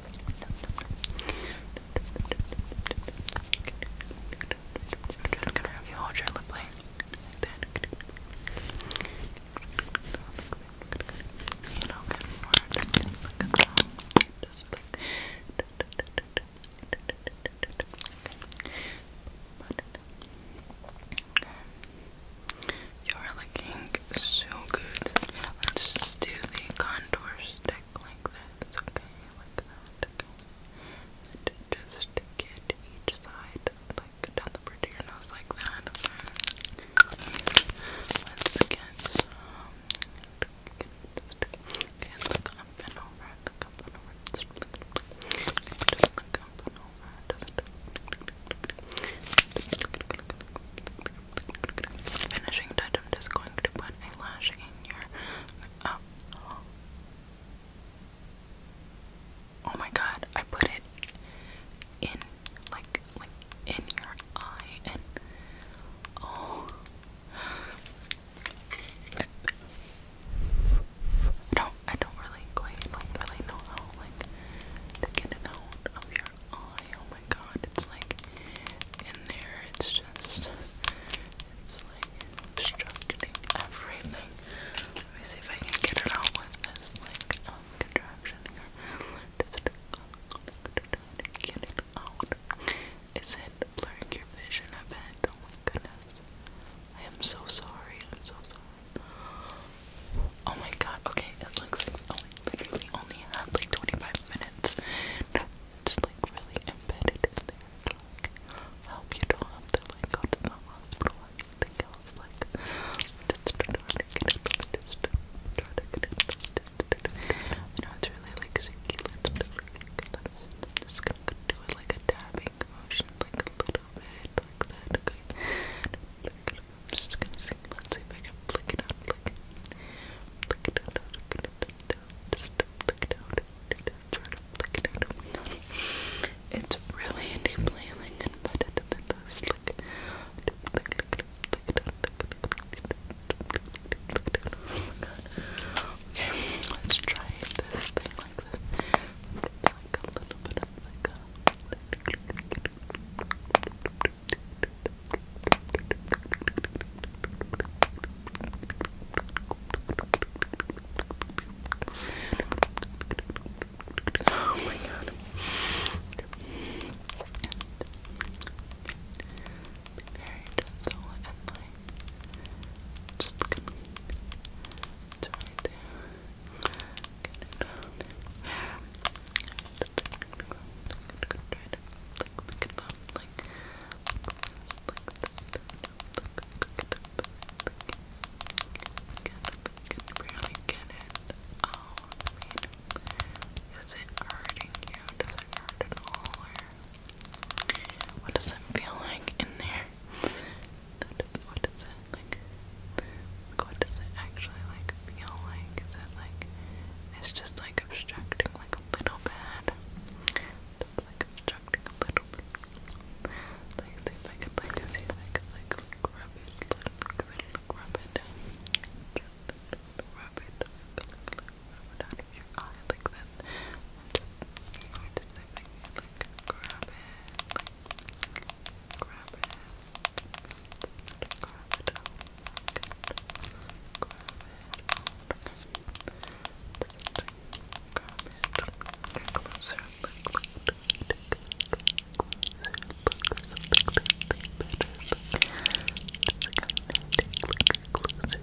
I'm trying to come around. You hold your lip place. You know, get more. Look at that. Just like. Okay. Okay. You're looking so good. Let's just do the contour stick like this, okay? Like that, just stick each side, like down the bridge of your nose, like that. Let's get some. Okay, look up and Finishing touch, I'm just going to put a lash in your. Oh. oh. my god, I put it in, like, like in your eye, and oh. I don't, I don't really quite like really know how like to get it out of your your eye. Oh my god, it's like in there, it's just, it's like obstructing everything. Let me see if I can get it out with this, like, um, contraption here. Does it get it out? Is it blurring your vision? I bet. Oh my goodness. I am so sorry. I'm so sorry. Oh my god, okay, it looks like oh, I literally only had like 25 minutes. It's like really embedded in there. Like, help you don't have to like go to the hospital or anything else. Like, just try it, I know it's really like succulent, but like, just gonna do it like a dabbing motion, like a little bit, like that, I'm just gonna see. Let's see if I can flick it out. Flick it. Flick it out. Flick it out. flick it out. Try flick it out. Flick, it out. Oh my god. Okay, let's try this thing like this. Oh my god. Very gentle and like just going right can barely get it. Oh, I mean, it hurting you? Does it hurt at all? what does it feel like in there? That is, it like, like what does it actually like feel like? Is it like it's just like obstructing like a little bit? It's like obstructing a little bit. Like see if I could like see if I could like rub it, like rub it, like, rub it. Rub it, rub it out of your eye like that. And just, or just if I could like grab it, like grab it, grab it, grab it, grab it, grab it, get closer, look, look, look, closer, look, something, something better, look, just come and take a look, closer, look, let's see, a little bit better, better,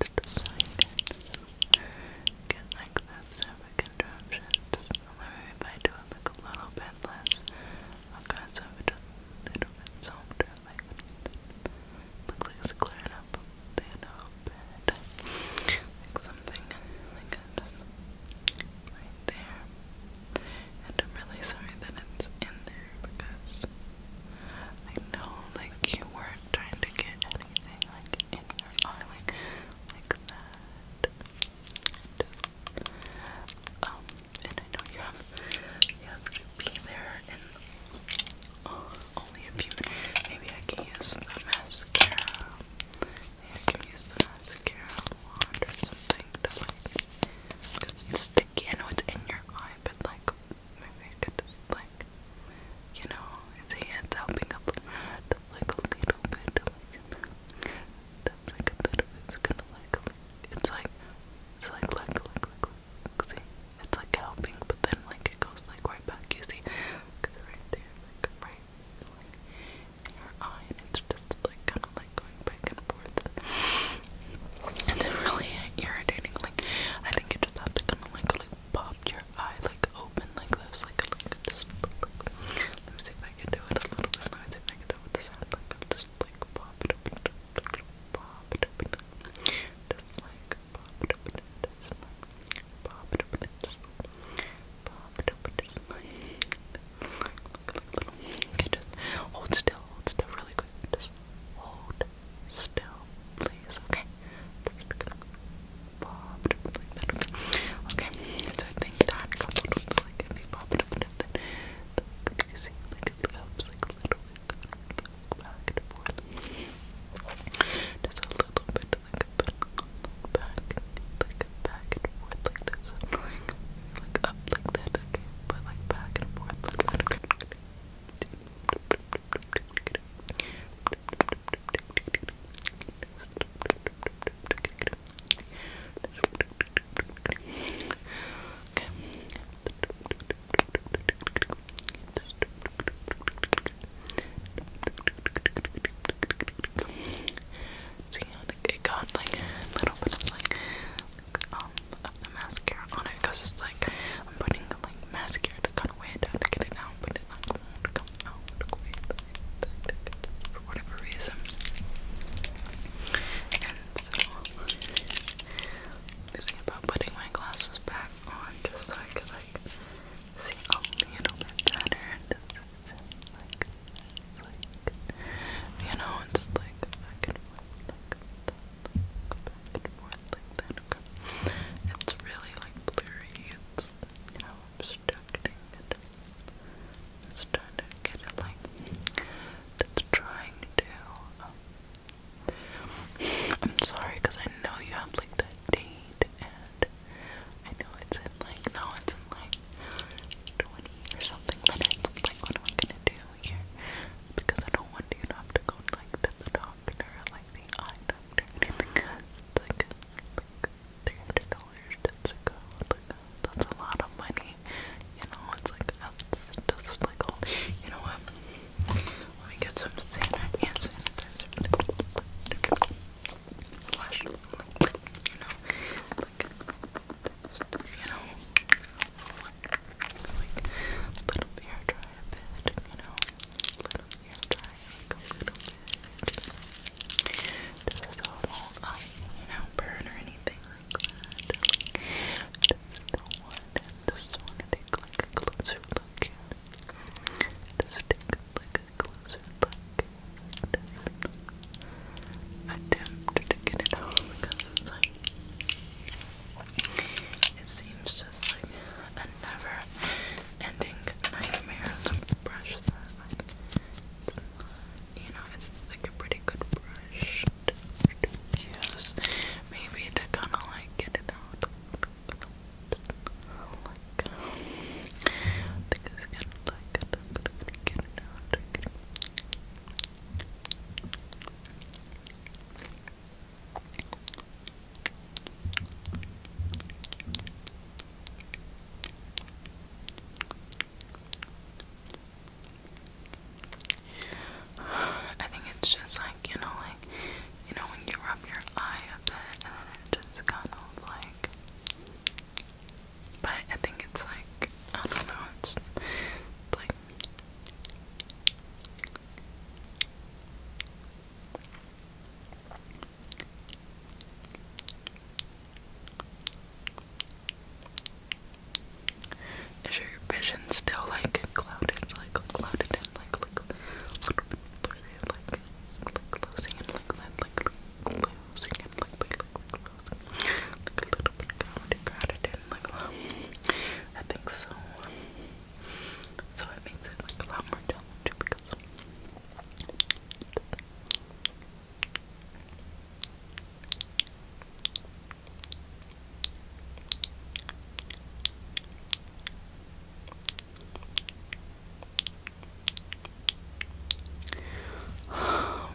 to the side Again, like that, several contraptions. However, if I do it like a little bit less, I'll cross over to a little bit softer, like Looks like it's clearing up a little bit. Like something like that. Right there. And I'm really sorry that it's in there because I know like you weren't trying to get like in your eye, like like that. Um, and I know you have to be there in only a few Maybe I can use the mascara. Maybe I can use the mascara wand or something to like. It's sticky. know it's in your eye, but like maybe I could just like you know, his hands helping up like a little bit, that's like a little bit, it's kind of like, it's like, it's like, like, like, like, see, it's like helping, but then like it goes like right back, you see, right there, like right, like in your eye, and it's just like kind of like going back and forth. It's really irritating, like, I think you just have to kind of like popped your eye like open like this, like Let me see if I can do it a little bit. Let me see if I can do it with the Like am just like pop it open, pop just like pop just like pop just like. hold still, hold still really good Just hold still, please, okay? like okay? so I think that like, if you pop it up and then, like, you see, like, it goes, like, a little bit, like, back and forth. Just a little bit, like, back, like, back and forth, like this. Like, up like that, okay? But, like, back and forth, like that, okay? See, it got like a little bit of like, um, of the mascara on it because it's like I'm putting the like mascara to kind of wait to get it out, but it like won't come out quite for whatever reason. And so thinking about putting my glasses back on just so I could like see a little bit better. Just, like, you know, it's like I could like it's really like blurry, it's, you know, obstructing it. It's trying to get it like, it's trying to, um, I'm sorry, because I know you have like that date, and I know it's in like, no, it's in like 20 or something minutes. Like, what am I gonna do? feeling because I don't want you to have to go like to the doctor or like the eye doctor or anything Like, like three hundred dollars just to go. Like, that's a lot of money. You know, it's like that's just like oh, You know what? Let me get some sanitizer. Yeah, sanitizer. Flash. Like, you know, like, you know, so like, let them hair dry a bit, you know? Let them hair dry like a little bit. Just so it won't, you know, burn or anything like that. just do Just want take like a closer look Just take like a closer look. Just attempt to get it all because it's like. It seems just like a never-ending nightmare to brush that. you know, it's like a pretty good brush to, use. Maybe to kind of like get it out. Like, think it's kind of like get it out. I think it's just like, you know, like, you know, when you rub your eye a bit and it just kind of like. But I think it's like, I don't know, it's like is your vision still like clouded, like clouded like like a little bit blurry, like like closing and like like like closing like like like closing like a little bit crowded, crowded in, like um, I think so. So it makes it like a lot more challenging because. Um,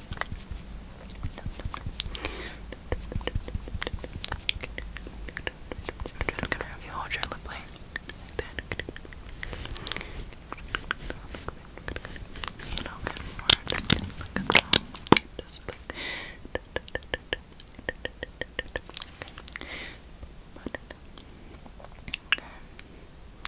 Just gonna have you hold your lip place. You don't get more. Look at that. Just like. Okay.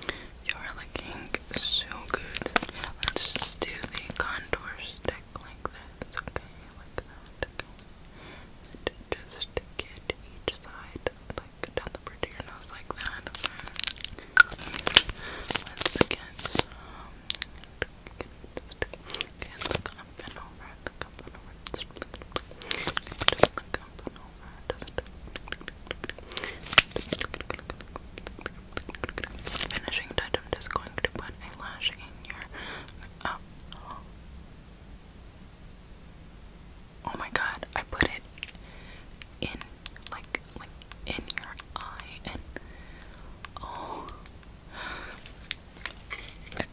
Okay. You're looking so good. Let's just do the contour stick like this, okay? Like that, just get each side, like down the bridge of your nose, like that. Let's get some. Okay, look up and over, finishing touch, I'm just going to put a lash in your. Oh. oh my god, I put it in, like, like in your eye, and oh. I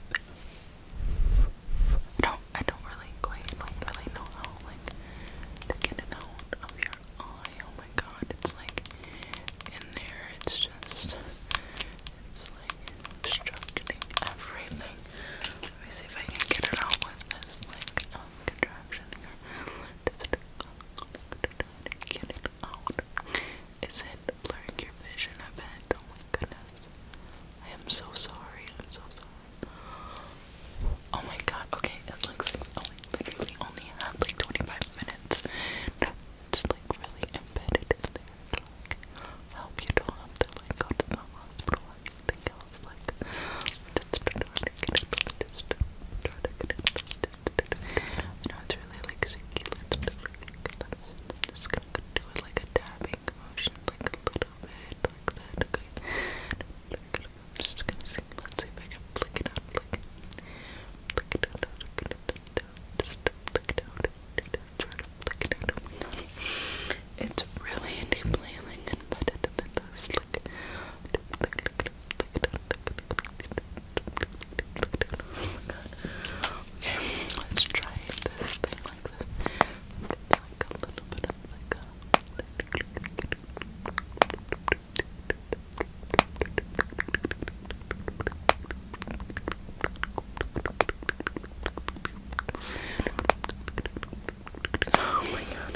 don't, I don't really quite like really know how like get it out of your eye my god, it's like in there, it's just, it's like obstructing everything. Let me see if I can get it out with this, like, um, contraption here. it out. Is it blurring your vision? I bet. Oh my goodness. I am so sorry. I'm so sorry. Oh my god, okay, it like literally only like 25 minutes. It's like really embedded in there. To, you don't have like go to the hospital or else. Like, I know it's really like succulent, just gonna do it like a dabbing motion, like a little bit, like that, I'm just gonna see. Let's see if I can flick it up, Flick, flick it up, Flick it up, Just flick it out. Try to flick it out. It's really entailing and embedded in the slick. Okay, let's try this thing like this. It's like a little bit of like a Oh my god. Be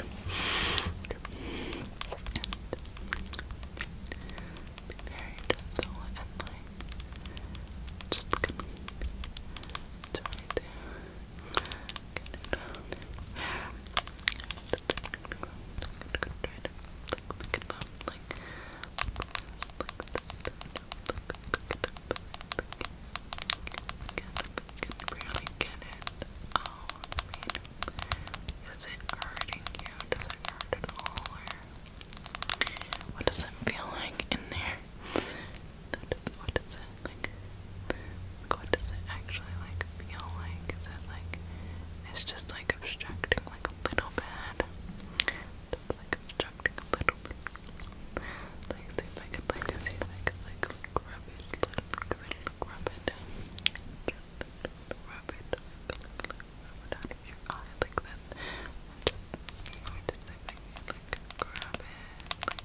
married and like just gonna do can it out. you? Does it hurt at all? Or what does it feel like in there? What it like, what does it actually like feel like? Is it like it's just like obstructing like a little bit? It's like obstructing a little bit. Like see if I could like see if I could like rub it, like rub it, like, rub it. Rub it, rub it out of your eye like that. Or just, or just if I could like grab it, like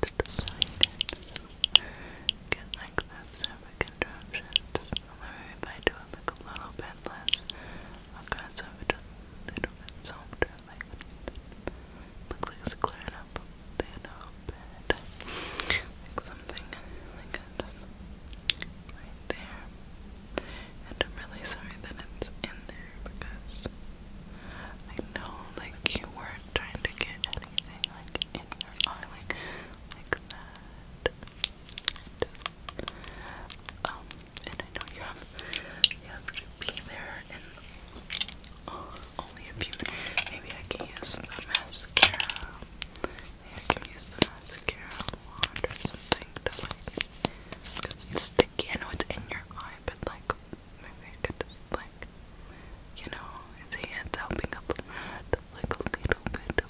to the sides. Get like that separate contraptions. Maybe if I do it like a little bit less, I'll okay, so it just a like it's clearing up a little bit. Like something like that right there. And I'm really sorry that it's in there because I know like you were not trying to get anything like in your eye, like that. Um, and I know you have you have to be there in only a few. Maybe I can use the mascara. Maybe can use the mascara wand or something to like. It's sticky. I in your eye, but like maybe I like, you know, his hand's helping up like a little bit,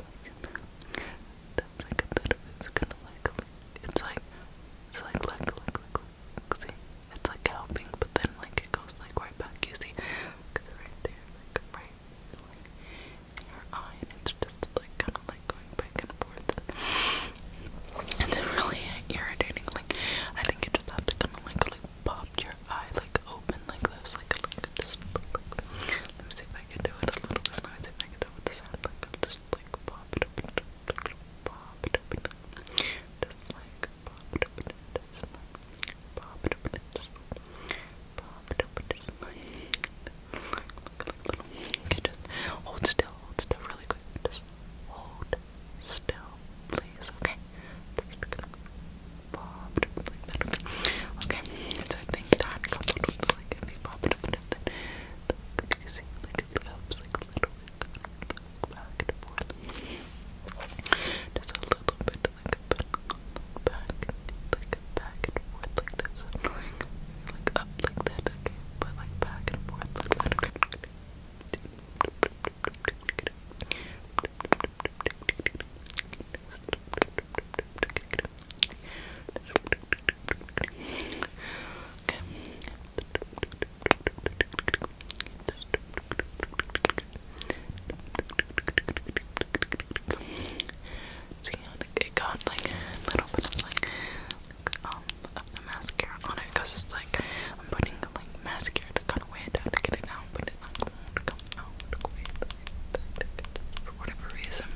that's like a it's kind of like, it's like, it's like, like, like, like, like, it's like helping, but then like it goes like right back, you see, right there, like right, like your eye, it's just like kind of like going back and forth. It's really irritating, like, I think you just have to kind of like popped your eye like open like this, like Let me see if I can do it a little bit. Let me see if I can do it this hand. Like am just like pop it open, pop just like pop just like pop it open, pop just like. hold still, hold still, really good. Hold still, please. Okay. Just gonna pop like that. Okay. So I think that coupled with like if you pop it like that, like you see, like it helps like a little bit like, back and forth. Just a little bit like a bit back, like back and forth like this. Like, up like that. But like back and forth like that. See, so, yeah, it got like a little bit of like, like um of the mascara on it because it's like I'm putting the like mascara to cut away to get it out, but it's not going to come out away for whatever reason.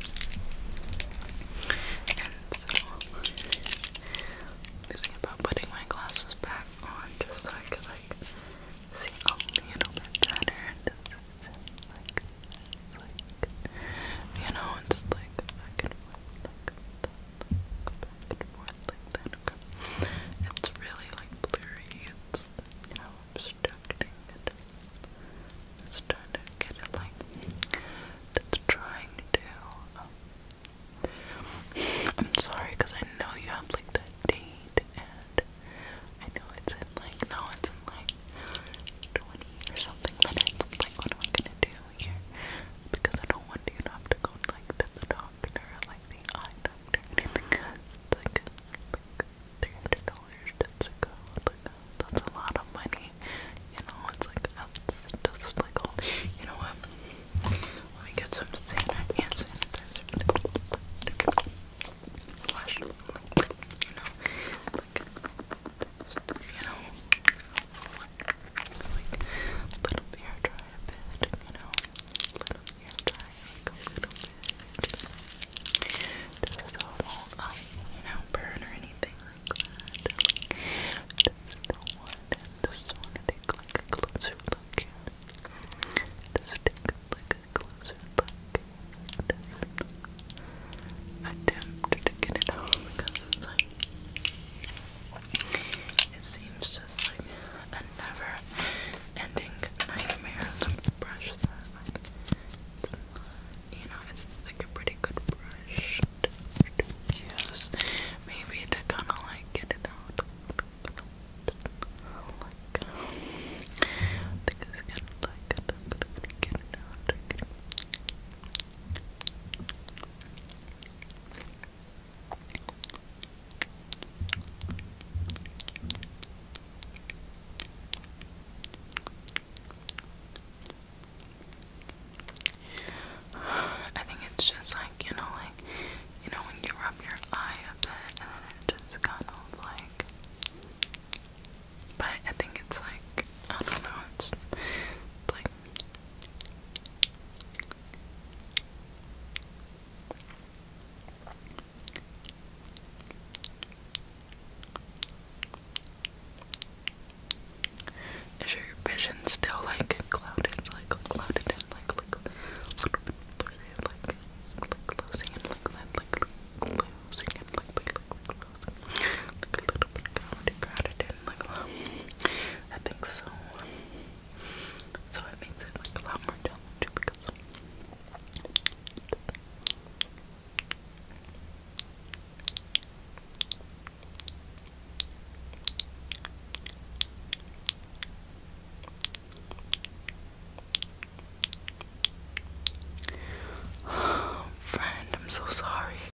And so I'm see about putting my glasses back on just so I could like see a little bit better. Just, like, it's like, you know, it's like I could like. That. It's really like blurry, it's, you know, obstructing It's trying to get it like, it's trying to, um, I'm sorry because I know you have like the date and I know it's in like, no, it's in like 20 or something minutes. Like, what am I gonna do? here because I don't want you to to go like to the doctor like the eye doctor because like like three hundred dollars that's a lot of money. You know, it's like that's just like all you know what? Let me get some sanitizer hand sanitizer. you know like you know just like let them hair dry a bit, you know. Let them dry a little bit. Just so not you know, burn or anything like that. just want to just wanna take a closer look Just take a closer look. Just to get it home because it's like it seems just like a never ending nightmare to brush you know, it's like a pretty good brush to, Maybe to kind of like get it out. Like, think it's gonna like get it out. I think it's just like, you know, like, you know, when you rub your eye a bit and it just kind of like. But I think it's like, I don't know, it's like. Is your vision still like clouded, like clouded and like like like like closing and like like like closing and like like like closing like a little bit clouded, crowded didn't like I think so. So it makes it like a lot more challenging because Friend, I'm so sorry.